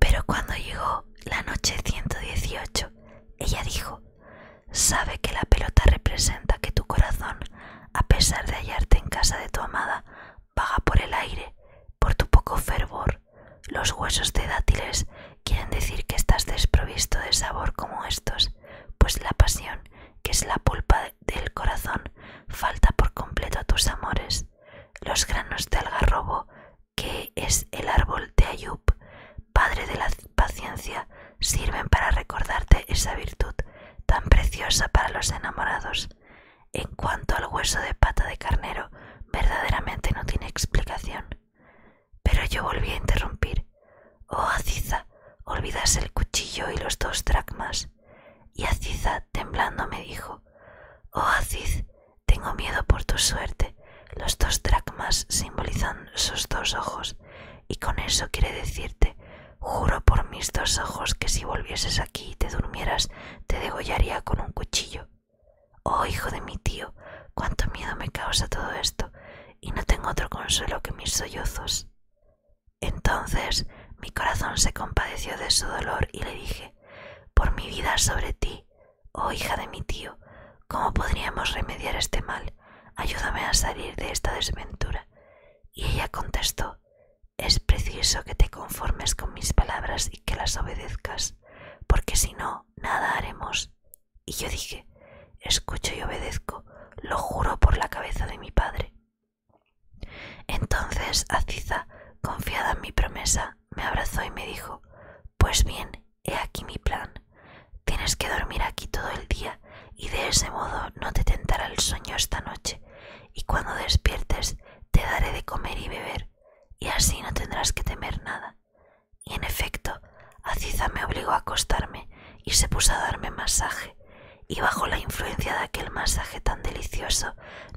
Pero cuando llegó la noche 118, ella dijo, sabe que la pelota representa que tu corazón, a pesar de hallarte en casa de tu amada, vaga por el aire, por tu poco fervor, los huesos de dátiles quieren decir que estás desprovisto de sabor como estos, pues la pasión, que es la pulpa del corazón, falta por completo a tus amores. Los granos de algarrobo, que es el árbol de Ayub, padre de la paciencia, sirven para recordarte esa virtud tan preciosa para los enamorados. En cuanto al hueso de pata de carnero, verdaderamente no tiene explicación. Pero yo volví a interrumpir. Oh, Aziza, olvidas el cuchillo y los dos dracmas. Y Aciza, temblando, me dijo, Oh, Aziz, tengo miedo por tu suerte. Los dos dracmas simbolizan sus dos ojos, y con eso quiere decirte, juro por mis dos ojos que si volvieses aquí y te durmieras, te degollaría con un cuchillo. Oh, hijo de mi tío, cuánto miedo me causa todo esto, y no tengo otro consuelo que mis sollozos. Entonces mi corazón se compadeció de su dolor y le dije, por mi vida sobre ti, oh hija de mi tío, ¿cómo podríamos remediar este mal? Ayúdame a salir de esta desventura. Y ella contestó, es preciso que te conformes con mis palabras y que las obedezcas, porque si no, nada haremos. Y yo dije, escucho y obedezco, lo juro por la cabeza de mi padre. Entonces Aziza, confiada en mi promesa, me abrazó y me dijo, pues bien, he aquí mi plan. Tienes que dormir aquí todo el día y de ese modo no te tentará el sueño esta noche y cuando despiertes te daré de comer y beber, y así no tendrás que temer nada. Y en efecto, Aciza me obligó a acostarme y se puso a darme masaje, y bajo la influencia de aquel masaje tan delicioso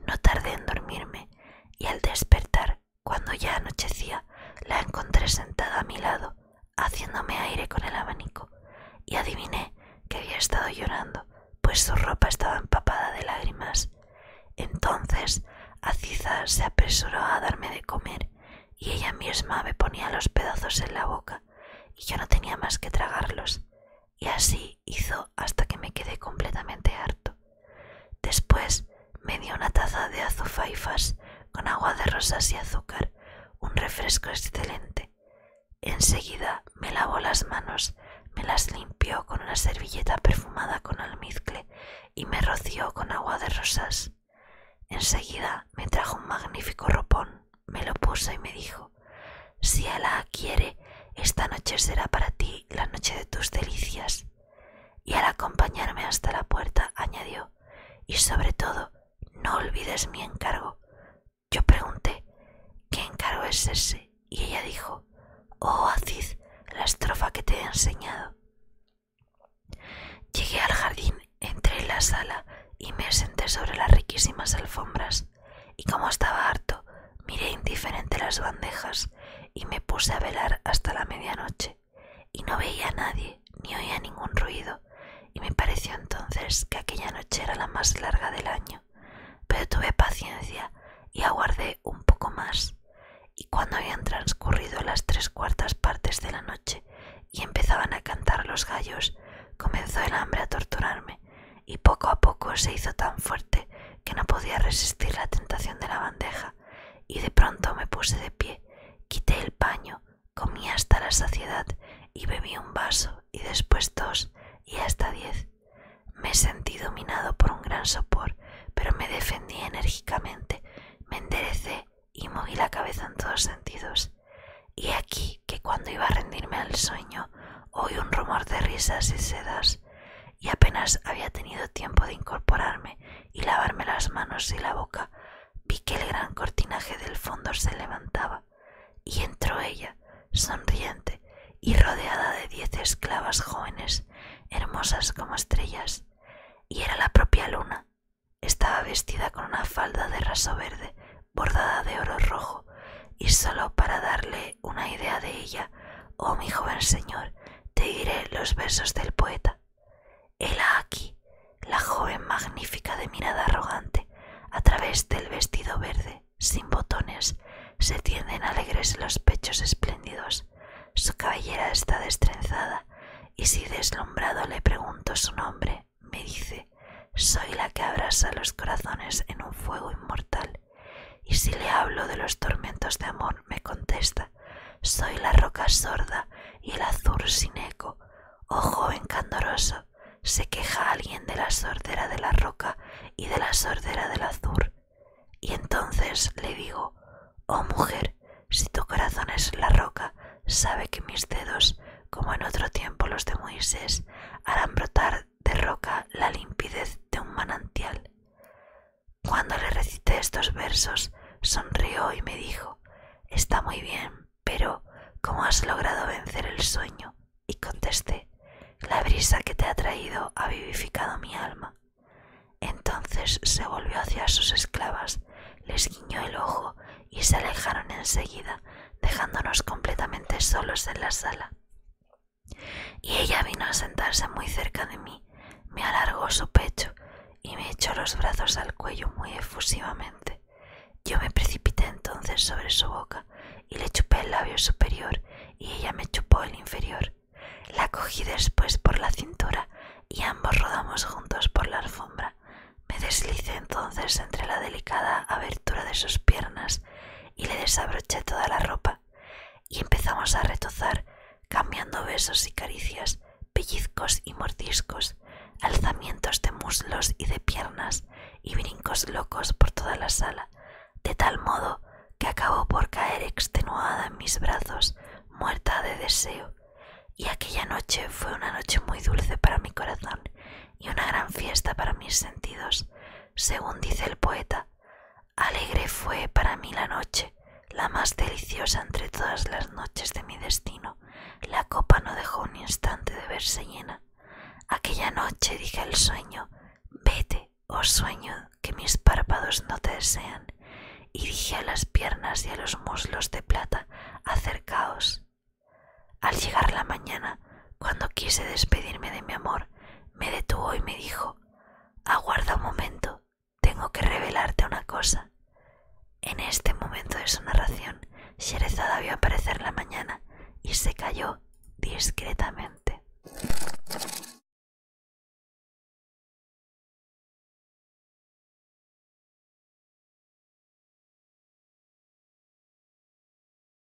no tardé en dormirme, y al despertar, cuando ya anochecía, la encontré sentada a mi lado, haciéndome aire con el abanico, y adiviné que había estado llorando pues su ropa estaba empapada de lágrimas. Entonces Aciza se apresuró a darme de comer y ella misma me ponía los pedazos en la boca y yo no tenía más que tragarlos. Y así hizo hasta que me quedé completamente harto. Después me dio una taza de azufaifas con agua de rosas y azúcar, un refresco excelente. Enseguida me lavó las manos, me las limpió con una servilleta perfumada con almizcle y me roció con agua de rosas. Enseguida me trajo un magnífico ropón, me lo puso y me dijo Si ella quiere, esta noche será para ti la noche de tus delicias. Y al acompañarme hasta la puerta añadió Y sobre todo, no olvides mi encargo. Yo pregunté, ¿qué encargo es ese? Y ella dijo, oh Aziz, la estrofa que te he enseñado. Llegué al jardín, entré en la sala y me senté sobre las riquísimas alfombras. Y como estaba harto, miré indiferente las bandejas y me puse a velar hasta la medianoche. Y no veía a nadie, ni oía ningún ruido, y me pareció entonces que aquella noche era la más larga del año, pero tuve paciencia y aguardé un poco más, y cuando habían transcurrido las tres cuartas partes de la noche y empezaban a cantar los gallos, comenzó el hambre a torturarme, y poco a poco se hizo tan fuerte que no podía resistir la tentación de la bandeja, y de pronto me puse de pie, quité el paño, Comí hasta la saciedad y bebí un vaso y después dos y hasta diez. Me sentí dominado por un gran sopor, pero me defendí enérgicamente, me enderecé y moví la cabeza en todos sentidos. Y aquí que cuando iba a rendirme al sueño, oí un rumor de risas y sedas, y apenas había tenido tiempo de incorporarme y lavarme las manos y la boca vi que el gran cortinaje del fondo se levantaba y entró ella, sonriente y rodeada de diez esclavas jóvenes, hermosas como estrellas, y era la propia luna. Estaba vestida con una falda de raso verde, bordada de oro rojo, y sólo para darle una idea de ella, oh mi joven señor, te diré los versos del poeta. Hela aquí, la joven magnífica de mirada arrogante, a través del vestido verde, sin botones, se tienden alegres los pechos espléndidos. Su cabellera está destrenzada, y si deslumbrado le pregunto su nombre, me dice, soy la que abrasa los corazones en un fuego inmortal. Y si le hablo de los tormentos de amor, me contesta, soy la roca sorda y el azur sin eco. Oh joven candoroso, se queja alguien de la sordera de la roca y de la sordera del azur. Y entonces le digo, oh mujer, si tu corazón es la roca, sabe que mis dedos, como en otro tiempo los de Moisés, harán brotar de roca la limpidez de un manantial. Cuando le recité estos versos, sonrió y me dijo, Está muy bien, pero ¿cómo has logrado vencer el sueño? Y contesté, La brisa que te ha traído ha vivificado mi alma. Entonces se volvió hacia sus esclavas, les guiñó el ojo y se alejaron enseguida, dejándonos completamente solos en la sala. Y ella vino a sentarse muy cerca de mí, me alargó su pecho y me echó los brazos al cuello muy efusivamente. Yo me precipité entonces sobre su boca y le chupé el labio superior y ella me chupó el inferior. La cogí después por la cintura y ambos rodamos juntos por la alfombra. Me deslicé entonces entre la delicada abertura de sus piernas y le desabroché toda la ropa y empezamos a retozar, cambiando besos y caricias, pellizcos y mordiscos, alzamientos de muslos y de piernas y brincos locos por toda la sala, de tal modo que acabó por caer extenuada en mis brazos, muerta de deseo. Y aquella noche fue una noche muy dulce para mi corazón y una gran fiesta para mis sentidos. Según dice el poeta, Alegre fue para mí la noche, la más deliciosa entre todas las noches de mi destino. La copa no dejó un instante de verse llena. Aquella noche dije al sueño, vete, oh sueño, que mis párpados no te desean. Y dije a las piernas y a los muslos de plata, acercaos. Al llegar la mañana, cuando quise despedirme de mi amor, me detuvo y me dijo, aguarda un momento, tengo que revelarte una cosa. En este momento de su narración, Sherezada vio aparecer la mañana y se cayó discretamente.